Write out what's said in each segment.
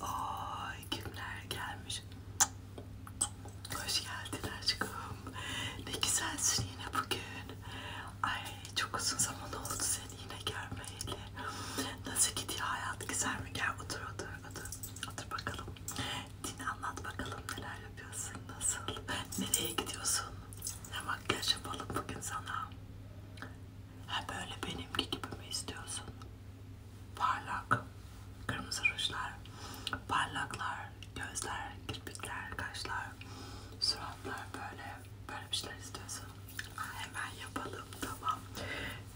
Ay kimler gelmiş? Hoş geldin aşkım. Ne güzelsin yine bugün. Ay çok uzun zaman oldu seni yine görmeyeli. Nasıl gidiyor hayat? Güzel mi? Gel otur otur otur. Otur bakalım. Din anlat bakalım neler yapıyorsun? Nasıl? Nereye gidiyorsun? Ne makyaj yapalım bugün sana? Ha böyle benimki gibi mi istiyorsun? Parlak, kırmızı rujlar, parlaklar, gözler, kirpikler, kaşlar, suratlar böyle böyle bir şeyler istiyorsun. Ha, hemen yapalım tamam.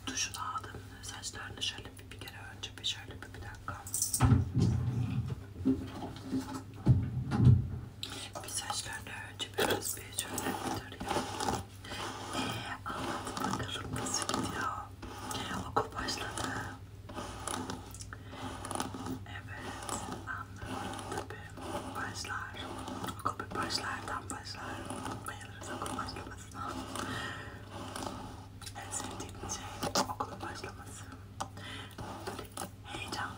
Duşunu aldım, saçlarını şöyle bir, bir kere önce bir şöyle bir, bir dakika. Bir saçlarını önce biraz bir şöyle bir tarayalım. Ee, anlat bakalım nasıl gidiyor? Okul başladı. Evet, anlıyorum tabii. Başlar. Okul bir başlardan başlar. Bayılırız okul başlamasına. En sevdiğim şey okulun başlaması. Böyle heyecan.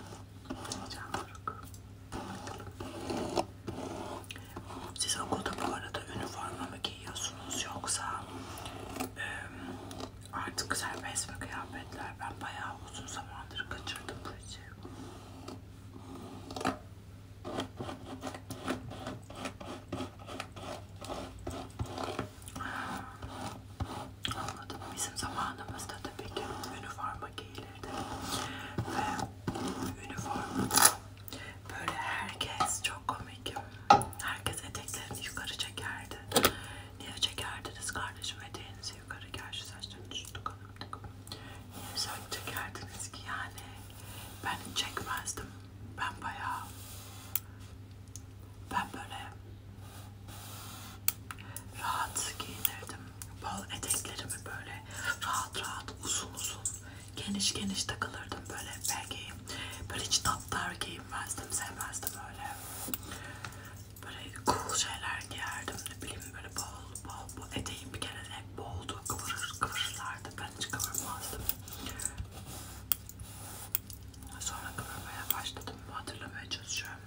Heyecan doruk. Siz okulda bu arada üniforma mı giyiyorsunuz yoksa e, artık serbest mi kıyafetler? Ben bayağı uzun zamandır kaçırdım bu işi. Anladım. Bizim zamanımızda tabii ki üniforma forma giyilirdi ve üniform böyle herkes çok komik herkes eteklerini yukarı çekerdi niye çekerdiniz kardeşim eteğinizi yukarı gel şu saçlarını şu dokunumduk niye sen çekerdiniz ki yani ben çekmezdim ben bayağı ben böyle rahat giyinirdim bol eteklerimi böyle rahat rahat uzun uzun geniş geniş takılırdım böyle belki böyle hiç tatlar giyinmezdim sevmezdim öyle böyle cool şeyler giyerdim ne bileyim böyle bol bol bu eteğim bir kere hep boldu kıvırır kıvırırlardı ben hiç kıvırmazdım sonra kıvırmaya başladım hatırlamaya çalışıyorum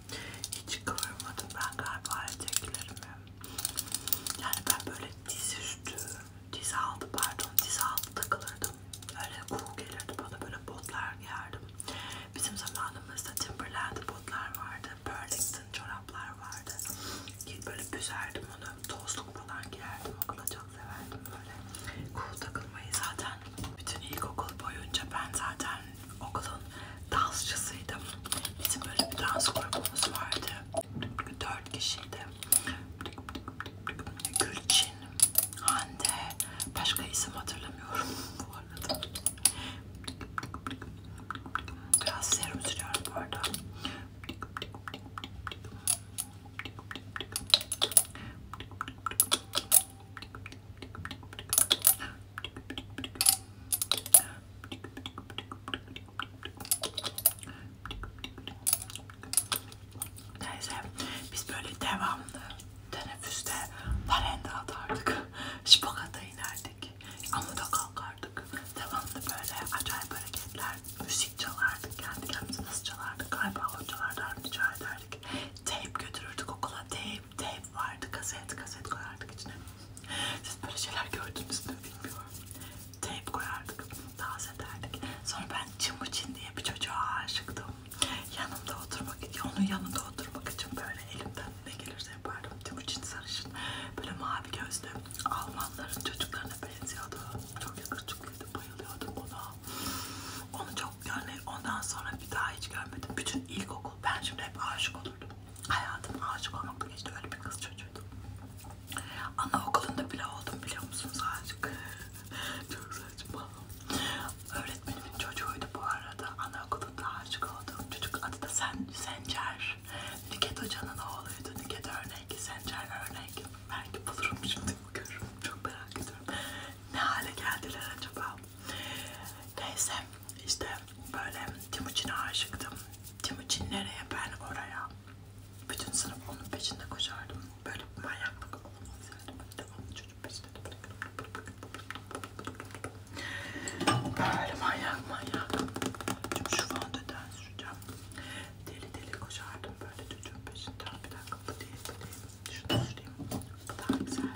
hiç kıvırmadım ben galiba eteklerimi yani ben böyle diz üstü, diz altı pardon diz altı takılırdım. Öyle cool gelirdi bana böyle botlar giyerdim. Bizim zamanımızda Timberland botlar vardı. Burlington çoraplar vardı. Böyle büzerdim onu. Tozluk falan giyerdim. Okula çok severdim böyle. Cool takılmayı zaten bütün ilkokul boyunca ben zaten okulun dansçısıydım. Bizim böyle bir dans grubumuz vardı. Dört kişiydi. Gülçin, Hande, başka isim hatırlamıyorum bu arada. Biraz serum sürüyorum bu arada. Neyse biz böyle devamlı teneffüste parende atardık. Şipakata inerdik. Amuda kalkardık. Devamlı böyle acayip hareketler. Müzik çalardık. Kendi kendimize nasıl çalardık? Galiba hocalardan rica ederdik. Tape götürürdük okula. Tape teyp vardı, kaset, kaset koyardık içine. Siz böyle şeyler gördünüz mü bilmiyorum. Teyp koyardık, dans ederdik. Sonra ben Çin diye bir çocuğa aşıktım. Yanımda oturmak, onun yanında oturmak için böyle elimden ne gelirse yapardım. Çin sarışın, böyle mavi gözlü Almanların çocuklarına benziyordu. Çok yakışıklıydı, bayılıyordum ona. Onu çok yani ondan sonra bir daha hiç görmedim. Bütün ilkokul ben şimdi hep aşık olurdum hayatım aşık olmakla geçti öyle bir kız çocuğuydum. Anaokulunda bile oldum biliyor musunuz aşık? Çok saçma. Öğretmenimin çocuğuydu bu arada. Anaokulunda aşık olduğum çocuk adı da Sen Sencer. Nüket Hoca'nın oğluydu. Nüket örnek, Sencer örnek. Belki bulurum şimdi görürüm. Çok merak ediyorum. Ne hale geldiler acaba? Neyse işte böyle Timuçin'e aşıktım. Timuçin nereye ben oraya. Bütün sınıf onun peşinde koşardım. Böyle bir manyaklık olmaz yani. Ben devamlı çocuk peşinde de Böyle manyak manyak. Şimdi şu fondöten süreceğim. Deli deli koşardım böyle çocuğun peşinden. Bir dakika bu değil bu değil. Şunu süreyim. Bu daha güzel.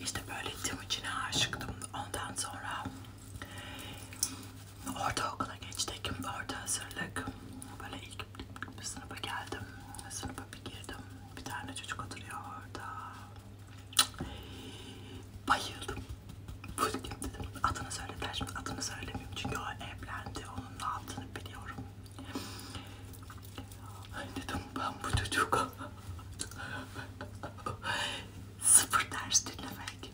İşte böyle Timuçin'e aşıktım. Ondan sonra ortaokula geçtik. Orta hazırlık. Böyle ilk sınıfa geldim. Sınıfa bir girdim. Bir tane çocuk oturuyor orada. Bayıldım. Fulgim dedim. Adını söylediler şimdi adını söylemiyorum çünkü o evlendi. Onun ne yaptığını biliyorum. Dedim ben bu çocuğa sıfır ders dinlemek.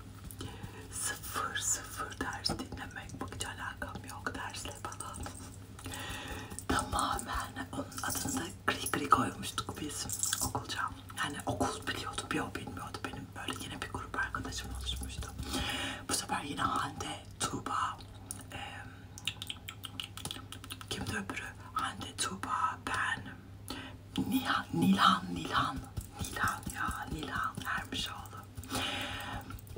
Sıfır sıfır ders dinlemek. Bak hiç alakam yok dersle falan. Tamamen onun adını da gri gri koymuştuk biz okulca. Yani okul biliyordu, bir o bilmiyordu. Benim böyle yine bir grup arkadaşım oluşmuştu. Bu sefer yine Hande, Tuğba, e, kimdi öbürü? Hande, Tuğba, ben, Nihan, Nilhan, Nilhan, Nilhan ya, Nilhan Ermişoğlu.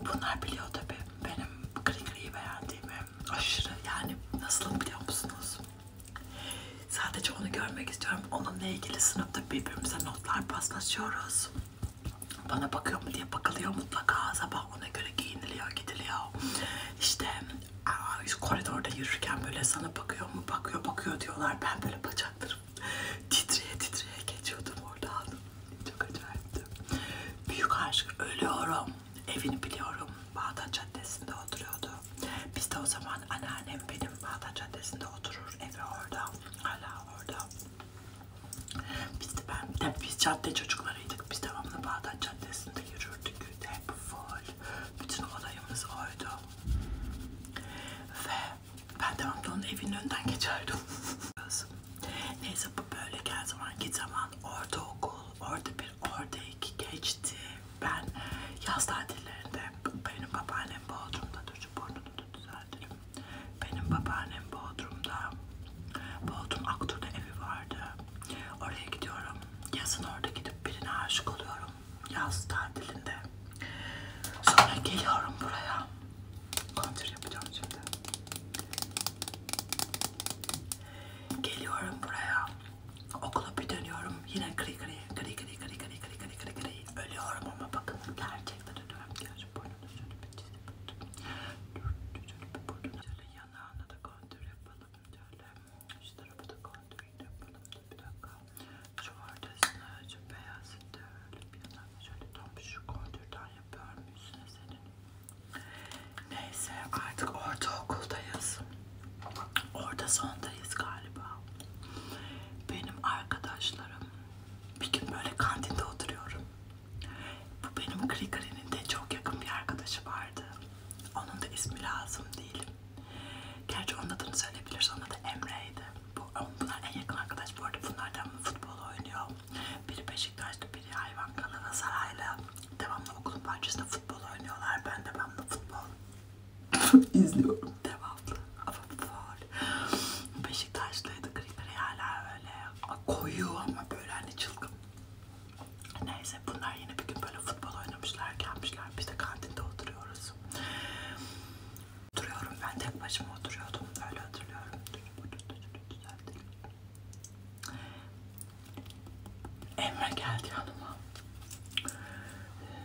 Bunlar biliyor tabi benim gri gri beğendiğimi. Aşırı yani nasıl biliyor musunuz? Sadece onu görmek istiyorum. Onunla ilgili sınıfta birbirimize notlar paslaşıyoruz. Bana bakıyor mu diye bakılıyor mutlaka. Sabah ona göre giyiniliyor, gidiliyor. İşte şu koridorda yürürken böyle sana bakıyor mu, bakıyor, bakıyor diyorlar. Ben böyle bacaklarım titreye titreye geçiyordum oradan. Çok acayipti. Büyük aşk ölüyorum evini biliyorum. Bağdat Caddesi'nde oturuyordu. Biz de o zaman anneannem benim Bağdat Caddesi'nde oturur. Evi orada. Hala orada. Biz de ben de biz cadde çocuklarıydık. Biz devamlı Bağdat Caddesi'nde yürürdük. Hep full. Bütün olayımız oydu. Ve ben devamlı onun evinin önünden geçerdim. Neyse bu böyle gel zaman git zaman ortaokul orada bir Orada iki geçti. Ben yaz tatillerinde benim babaannem Bodrum'da dur burnunu da düzeltirim. Benim babaannem Bodrum'da Bodrum Aktur'da evi vardı. Oraya gidiyorum. Yazın orada gidip birine aşık oluyorum. Yaz tatilinde. Sonra geliyorum buraya. Kontür yapacağım şimdi. Geliyorum buraya. Okula bir dönüyorum. Yine kri kri kri kri kri kri kri kri kri kri ölüyorum ama bakın gerçekten ölüyorum. Gerçi burnunu şöyle bir çizip burnunu şöyle yanağına da kontür yapalım. Şöyle şu tarafa da kontür yapalım. Bir dakika. Şu ortasını, şu beyazını da öyle bir yanağına şöyle tam şu kontürden yapıyorum. Üstüne senin Neyse artık ortaokuldayız. Orta sondayız galiba. Benim arkadaşlarım bir gün böyle kantinde oturuyorum. Bu benim Krikari'nin de çok yakın bir arkadaşı vardı. Onun da ismi lazım değil. Gerçi onun adını söyleyebiliriz. Onun adı Emre'ydi. Bu, bunlar en yakın arkadaş bu arada. Bunlardan futbol oynuyor. Biri Beşiktaş'ta, biri Hayvan Kanalı Saray'la devamlı okulun bahçesinde futbol oynuyorlar. Ben de ben de futbol izliyorum devamlı. Ama futbol. Beşiktaş'taydı kriteriyerler hala öyle koyu ama böyle hani çılgın. Neyse bunlar yine bir gün böyle futbol oynamışlar gelmişler. Biz de kantinde oturuyoruz. Oturuyorum ben tek başıma oturuyordum. Öyle hatırlıyorum. Emre geldi yanıma.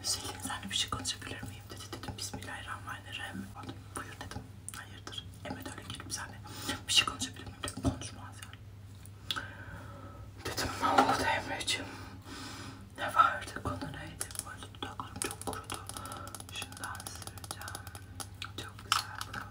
Selin senle bir şey konuşabilir miyim dedi. Dedim Bismillahirrahmanirrahim. Buyur dedim. Hayırdır? Emre de öyle gelip senle bir şey konuşabilir miyim dedi. Konuşmaz yani. Dedim ne oldu Emre'ciğim? Ne vardı? Konu neydi? Böyle dudaklarım çok kurudu. Şundan süreceğim. Çok güzel.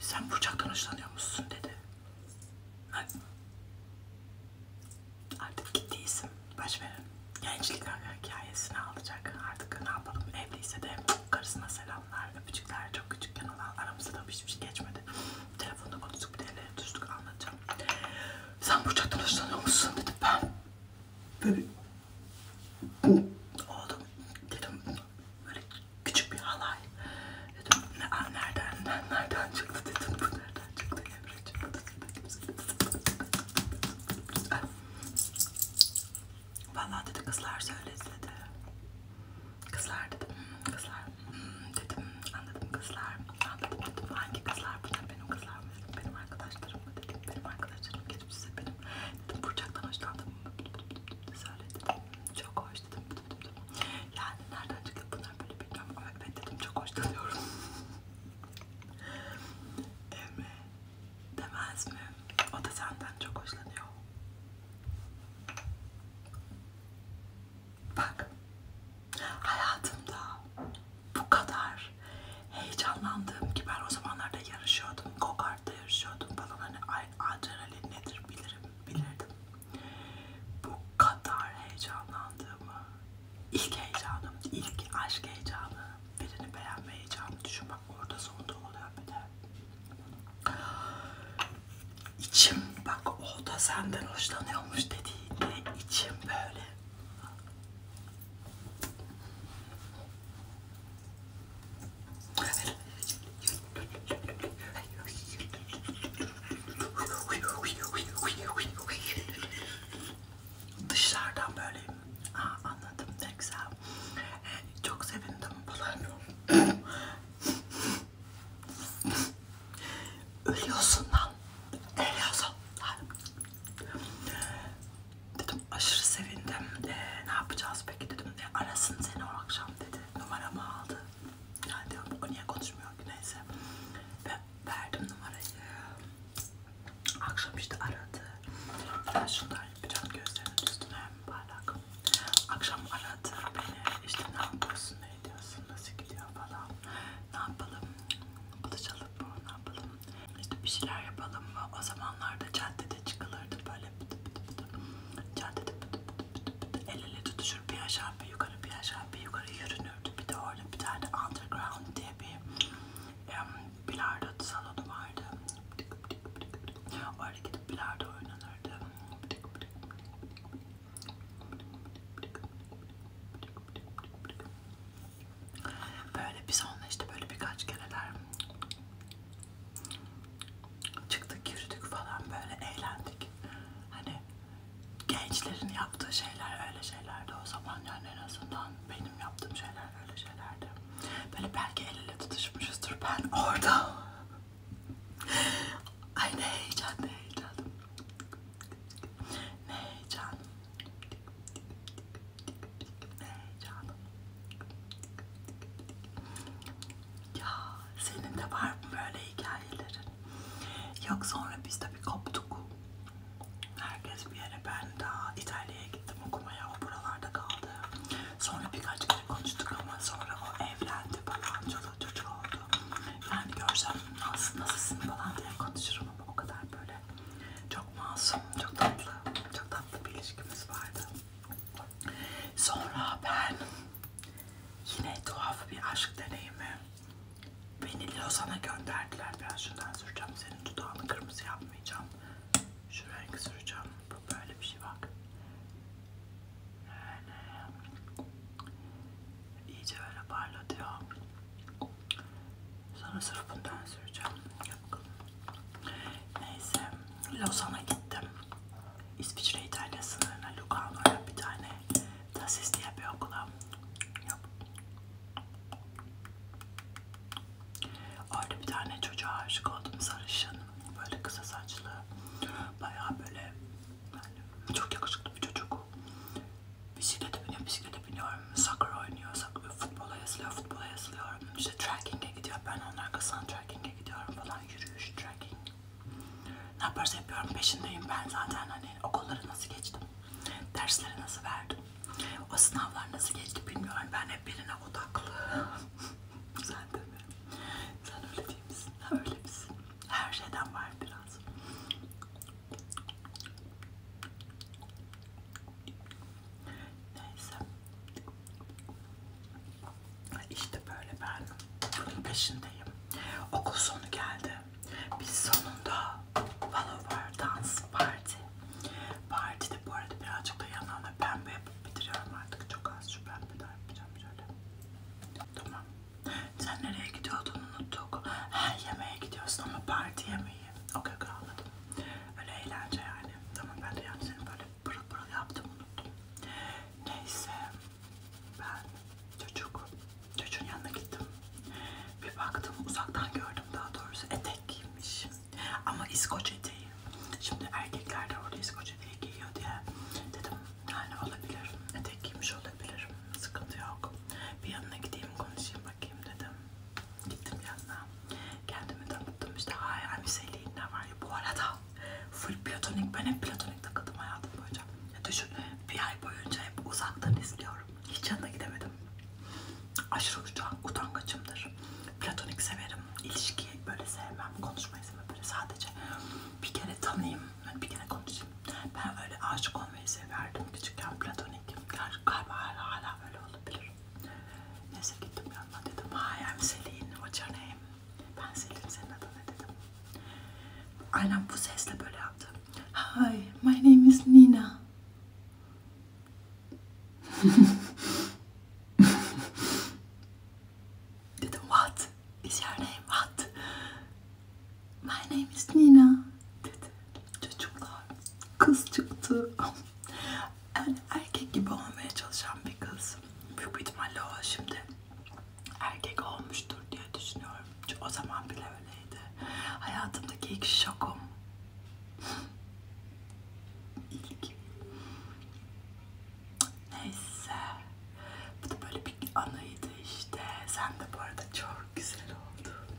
Sen Burçak'tan hoşlanıyor musun dedi. Hayır. Artık gittiysem baş verin. Gençlik hikayesini alacak. Artık ne yapalım evliyse de karısına selamlar, öpücükler. Çok küçükken olan aramızda da hiçbir şey geçmedi. Telefonda konuştuk bir de ele tutuştuk anlatacağım. Sen Burçak'tan hoşlanıyor musun dedi. Ben böyle oldum dedim böyle küçük bir halay. Dedim ne nereden nereden çıktı dedim bu nereden çıktı Emre çıktı. Vallahi dedi kızlar söyledi dedi. Kızlar dedim hmm, kızlar hmm, dedim anladım kızlar anladım dedim hangi kızlar bunlar benim kızlar mı dedim benim arkadaşlarım mı dedim benim arkadaşlarım dedim size benim. Dedim Burçak'tan hoşlandım. Söyle dedim. Çok hoş dedim. Yani nereden çıktı bunlar böyle bilmiyorum ama evet dedim çok hoşlanıyorum. Emre demez mi? O da senden çok hoşlanıyor. Bak hayatımda bu kadar heyecanlandığım ki ben o zamanlarda yarışıyordum go barda yarışıyordum falan hani adrenalin nedir bilirim bilirdim. Bu kadar heyecanlandığımı, ilk heyecanım, ilk aşk heyecanı, birini beğenme heyecanı düşünmek orada sonda oluyor bir de. İçim bak o da senden hoşlanıyormuş dediğinde içim böyle Dışlardan böyle. Aa, anladım ne güzel. Ee, çok sevindim falan. Ölüyorsun lan. Ölüyorsun. Dedim aşırı sevindim. Ee, ne yapacağız peki dedim. E, arasın seni o akşam dedi. Numaramı aldı. Yani diyorum o niye konuşmuyor ki neyse. Ve verdim numarayı. Akşam işte aradı. Ben şunlar yapacağım gözlerinin üstüne parlak. Akşam aradı beni. İşte ne yapıyorsun, ne ediyorsun, nasıl gidiyor falan. Ne yapalım, buluşalım mı, ne yapalım işte bir şeyler yapalım mı? O zamanlarda caddede çıkılırdı böyle pıtı pıtı pıtı. Caddede pıtı pıtı pıtı pıtı. El ele tutuşur bir aşağı bir yukarı bir aşağı bir yukarı yürünürdü. Bir de orada bir tane underground diye bir um, bilardo salonu vardı. Orada gidip bilardo oynanırdı. Böyle biz onunla işte böyle birkaç kereler çıktık yürüdük falan böyle eğlendik. Hani gençlerin yaptığı şeyler öyle şeylerdi o zaman yani en azından benim yaptığım şeyler öyle şeylerdi. Böyle belki el ele tutuşmuşuzdur ben orada. Ay ne heyecan ne heyecan. Ne heyecan. Heyecanım. Ya senin de var mı böyle hikayelerin? Yok sonra biz tabii koptuk. Herkes bir yere ben daha İtalya'ya gittim okumaya. O buralarda kaldı. Sonra birkaç kere konuştuk ama sonra o evlendi falan. Çoluk çocuk oldu. Yani görsem nasıl, nasılsın falan diye konuşurum ama o kadar böyle çok masum, çok tatlı, çok tatlı bir ilişkimiz vardı. Sonra ben yine tuhaf bir aşk deneyimi. Beni Lozan'a gönderdiler. Ben şundan süreceğim. Senin dudağını kırmızı yapmayacağım. Şu renk süreceğim. Bu böyle bir şey bak. Yani, iyice öyle parlatıyor. Sonra sırf bundan süreceğim. Yapalım. Neyse. Lozan'a gittim. İsviçre İtalya sınırına Lugano'ya bir tane Tassis diye bir okula. Yap. Orada bir tane çocuğa aşık oldum sarışın. Böyle kısa saçlı. Bayağı böyle yani çok yakışıklı bir çocuk. Bisiklete biniyorum, bisiklete biniyorum. Soccer oynuyor, soccer, futbola yazılıyor, futbola yazılıyor. İşte trekking'e gidiyor, ben onun arkasından trekking'e gidiyorum falan. Yürüyüş, trekking. Ne yaparsa yapıyorum, peşindeyim. Ben zaten hani okulları nasıl geçtim, dersleri nasıl verdim, o sınavlar nasıl geçti bilmiyorum. Ben hep birine odaklı. Sen de mi? Sen öyle değil misin? Öyle misin? Her şeyden var biraz. Neyse. İşte böyle ben bunun peşindeyim. Okul sonu geldi. Biz sonunda Follower Dans Parti. Partide bu arada birazcık da yanağına pembe yapıp bitiriyorum artık. Çok az şu pembe daha yapacağım şöyle. Tamam. Sen nereye gidiyordun unuttuk. Her yemeğe gidiyorsun ama parti yemeği iyi. Okey okey anladım. Öyle eğlence yani. Tamam ben de yani seni böyle pırıl pırıl yaptım unuttum. Neyse ben çocuk, çocuğun yanına gittim. Bir baktım uzaktan gördüm daha doğrusu etek giymiş. Ama İskoç eteği. Şimdi erkekler de orada İskoç eteği giyiyor diye dedim yani olabilir. Etek giymiş olabilir. Sıkıntı yok. Bir yanına gideyim konuşayım bakayım dedim. Gittim yanına. Kendimi tanıttım işte hayır Hüseyin'le ne var ya bu arada full platonik ben hep platonik takıldım hayatım boyunca. Ya düşün bir ay boyunca hep uzaktan izliyorum. Hiç yanına gidemedim. Aşırı utangaçımdır. Platonik severim. İlişkiyi böyle sevmem. Konuşmayı sevmem. Böyle sadece bir kere tanıyayım. Yani bir kere konuşayım. Ben öyle aşık olmayı severdim. Küçükken platonik gittim. Gerçi galiba hala, hala böyle olabilir. Neyse gittim yanına dedim. Hayır Selin, what's your name? Ben Selin, senin adına dedim. Aynen bu sesle böyle yaptı. Hi, my name is Nina. dedim what? Is your name what? My name is Nina dedi. Çocuklar kız çıktı. yani erkek gibi olmaya çalışan bir kız. Büyük bir ihtimalle o şimdi erkek olmuştur diye düşünüyorum. Çünkü o zaman bile öyleydi. Hayatımdaki ilk şokum. ilk. Neyse. Bu da böyle bir anıydı işte. Sen de bu arada çok güzel oldun.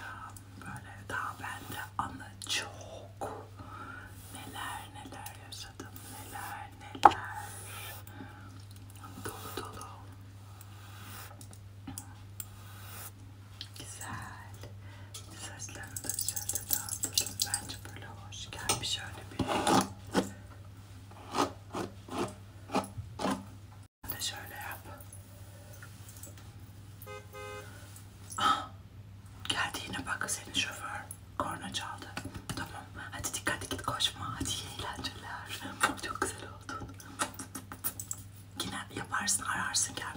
Ya böyle daha bende anı çok. Neler neler yaşadım, neler neler. Dolu dolu. Güzel. Saçlarını da şöyle dağıtalım. Bence böyle hoş. Gel bir şöyle bir. Ben de şöyle yap. Ah, geldi yine bak senin şoför. Korna çaldı. Tamam. Hadi dikkatli git koşma. Hadi iyi eğlenceler. Çok güzel oldun. Yine yaparsın ararsın gelme.